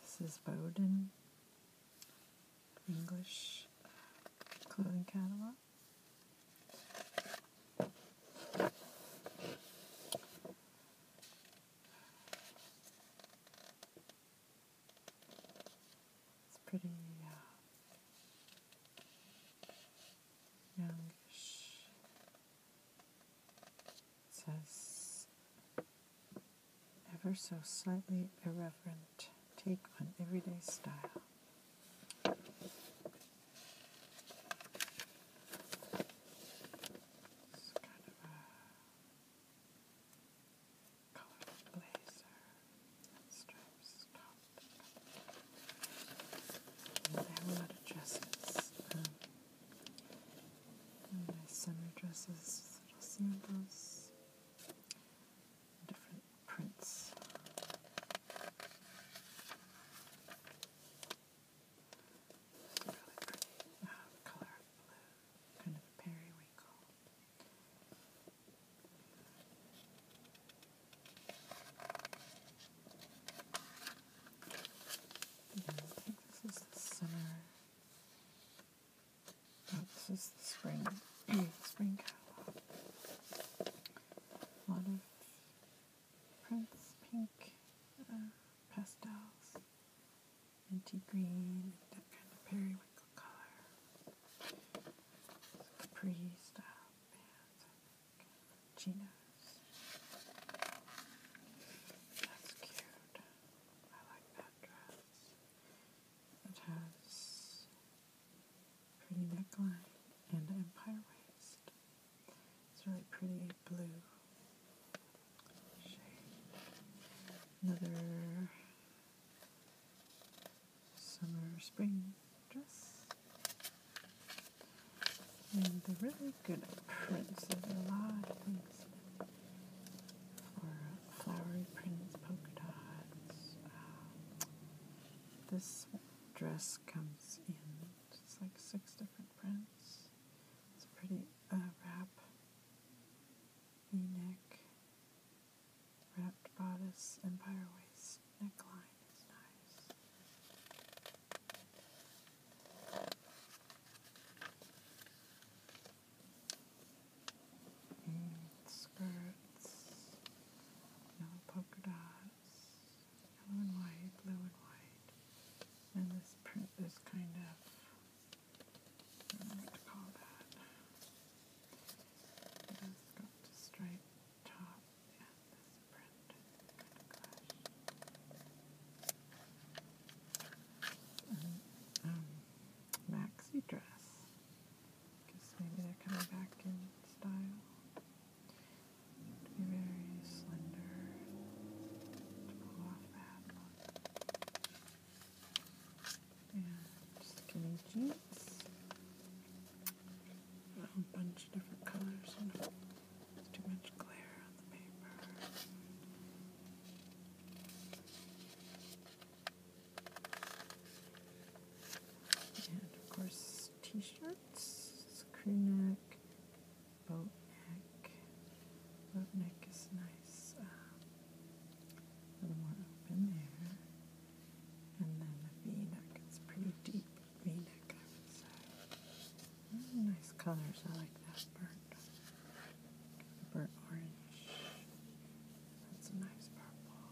This is Bowden English clothing catalog. It's pretty uh, youngish. It says, ever so slightly irreverent take on everyday style. It's blazer stripes top. And there are a lot of dresses. Um, nice summer dresses, little sandals, different prints. really pretty uh, color blue, kind of periwinkle. Yeah, I think this is the summer. Oh, this is the spring. spring catalog. A lot of prints, pink, uh, pastels, minty green, that kind of periwinkle color, capri style bands chinos. That's cute. I like that dress. It has pretty neckline and empire waist. It's really pretty blue shade. Another summer spring dress. And the really good prints. There's a lot of things for flowery prints, polka dots. Um, this dress comes in it's like six different prints. It's a pretty uh, wrap, v-neck, wrapped bodice, empire waist neckline is nice. Mm, skirts, no polka dots, yellow and white, blue and white, and this print is kind of, I don't know what to call that. It's got the straight top and Mm-hmm. Um, maxi dress. maybe they're coming back in style. To be very slender And skinny jeans. A bunch of different colors too much glare on the paper. And of course, t-shirts, crew neck, boat neck. Boat neck is nice. Um, a little more open there. And then the V neck is pretty deep Mm, nice colors. I like that burnt, orange. That's a nice purple.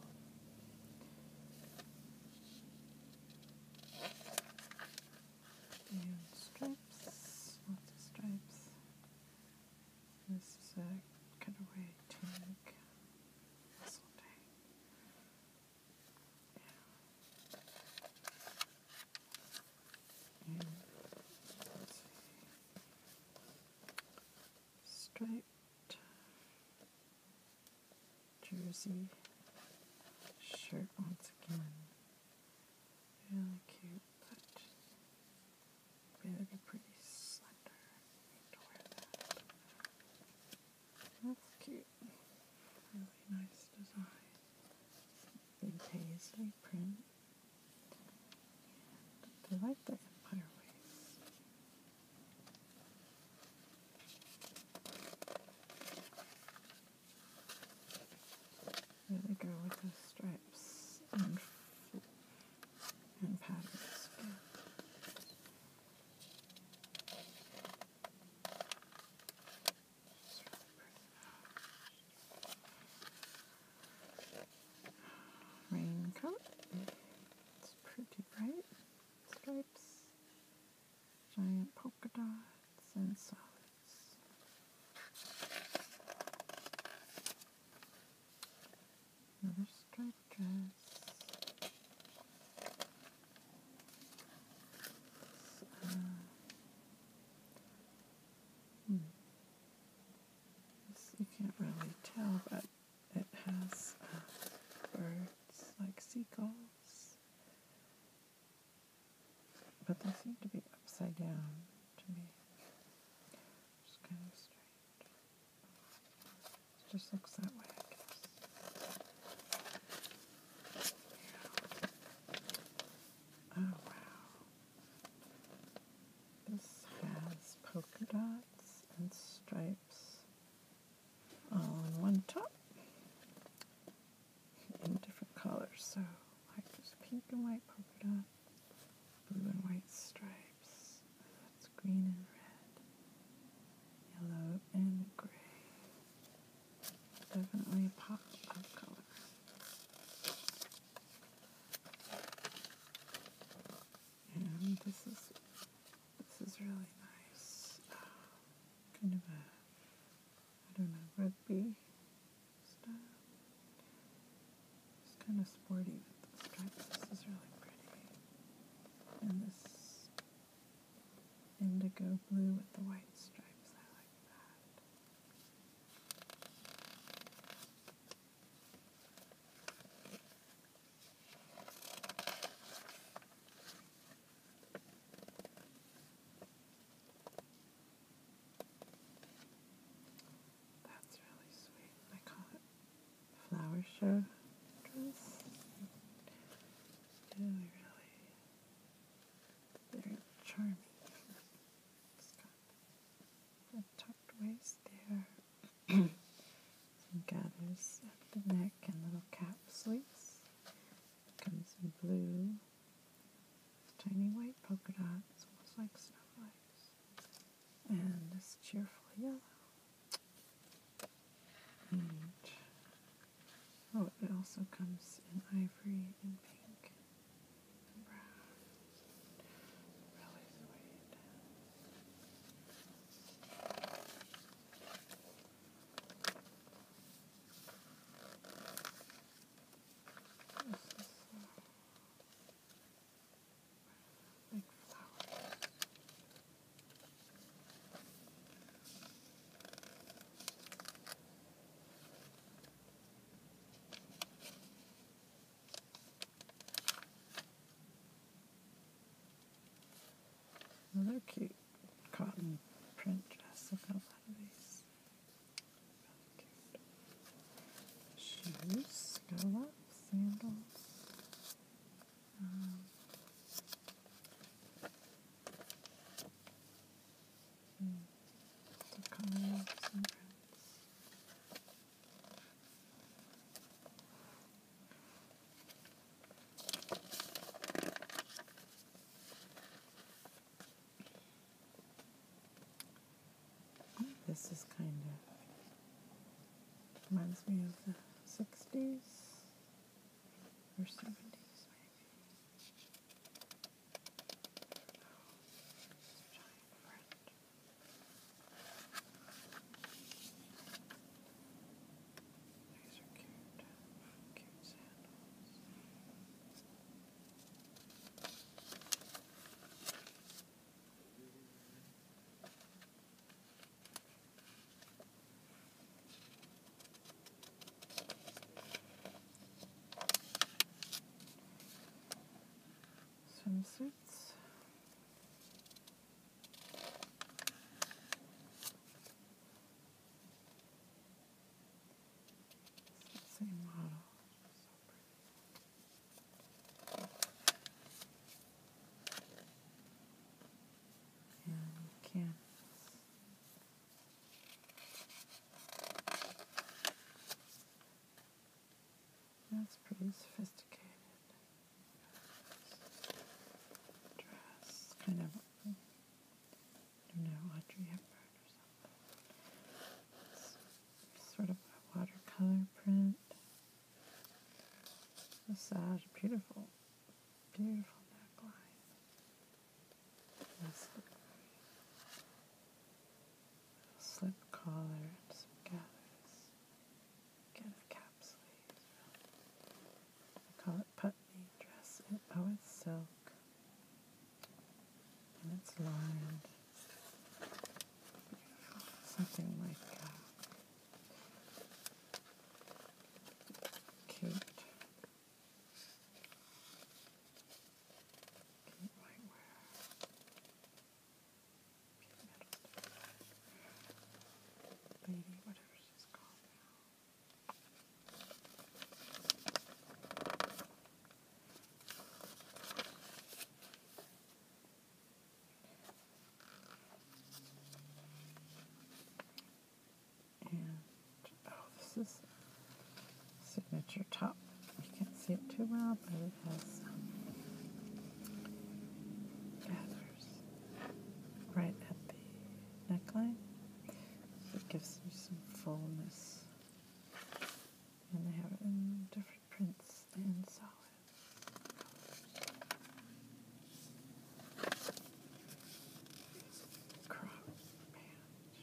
stripes, lots of stripes. This is a cutaway tunic, Striped jersey shirt once again. Really cute, but really pretty slender. To wear that. That's cute. Really nice design. The paisley print. And I like the empire waist. Really go with the stripes and, and patterns. Raincoat. It's pretty bright. Stripes, giant polka dots, and solids. Another striped dress. You can't really tell, but it has uh, birds like seagulls. But they seem to be upside down to me. Just kind of strange. It just looks that way, I guess. Oh wow. This has polka dots and stripes all on one top in different colors. So like there's pink and white polka dot, blue and white stripes. That's green and red, yellow and gray. Definitely a pop of color. And this is this is really nice. Uh, kind of a I don't know, rugby style. It's kind of sporty This is really pretty. And this indigo blue with the white stripes. I like that. That's really sweet. I call it flower show dress. Really, really very charming. It's got a tucked waist there. Some gathers at the neck and little cap sleeves. comes in blue. Tiny white polka dots, almost like snowflakes. And this cheerful yellow. Oh, it also comes in ivory and pink and brown. Really sweet. This is uh, like flowers. Another cute cotton print dress. I've got a lot of these. Really cute. Shoes. Got a lot. Sandals. Um, this is kind of reminds me of the sixties. We're 70s maybe. Oh, giant friend. These are cute, cute sandals swimsuits. Same model. So and canvas. That's pretty sophisticated. Dress, kind of, I don't know, Audrey Hepburn or something. It's sort of a watercolor print. Massage, beautiful Beautiful neckline. A slip, collar and some gathers. Get a cap sleeve. I call it putney dress. oh, it's silk. And it's lined. Beautiful. Something like that. Cute. Cute white wear. Cute metal. Lady, whatever she's called now. And oh, this is signature top. You can't see it too well, but it has um, feathers right at the neckline. it gives you some fullness. And they have different prints and solid. Crop pants.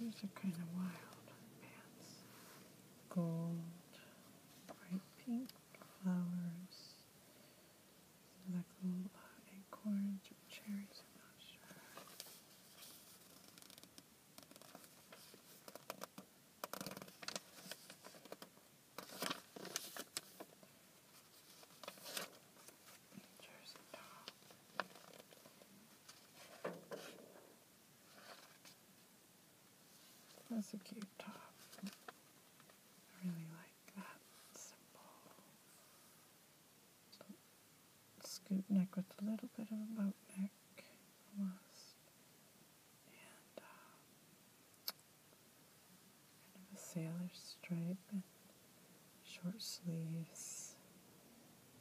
These are kind of wild pants. Gold, bright pink flowers. These like little uh, acorns or cherries, I'm not sure. That's a cute top. I really like that simple scoop neck with a little bit of a boat neck kind of a sailor stripe and short sleeves.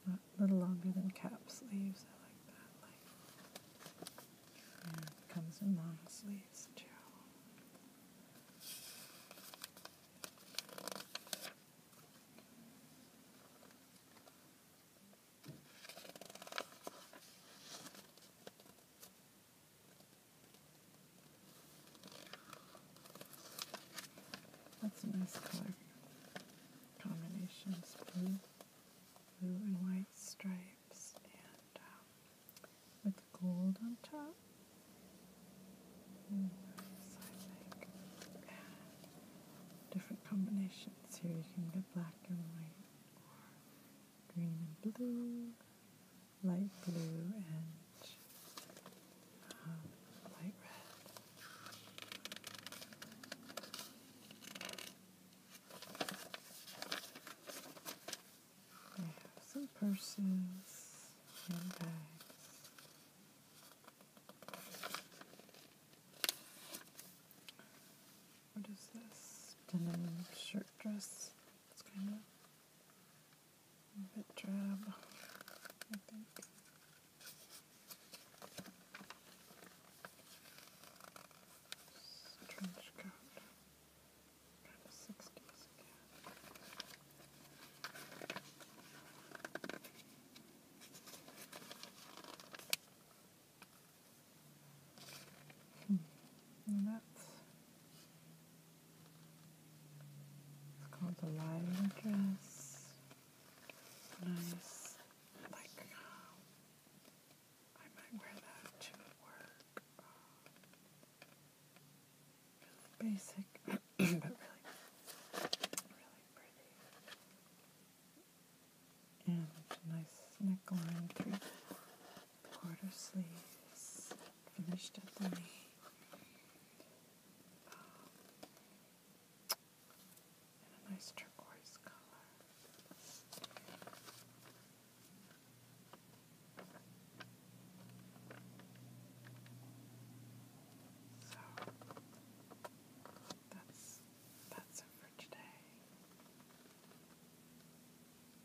a little longer than cap sleeves. I like that. Like, comes in long sleeves too. That's a nice color combination. blue, and white stripes, and um, with gold on top. nice, I think. different combinations here. You can get black and white, or green and blue, light blue and um, light red. We have some purses, handbags. What is this? Denim shirt dress. It's kind of bit drab, I think. This trench coat, kind sixties again. Hmm. And that's it's called the lion dress. Nice. Like, uh, I might wear that to work. basic, but really, really pretty. And nice neckline, three quarter sleeves, finished at the knee. Um, a nice turquoise color. So that's that's for today.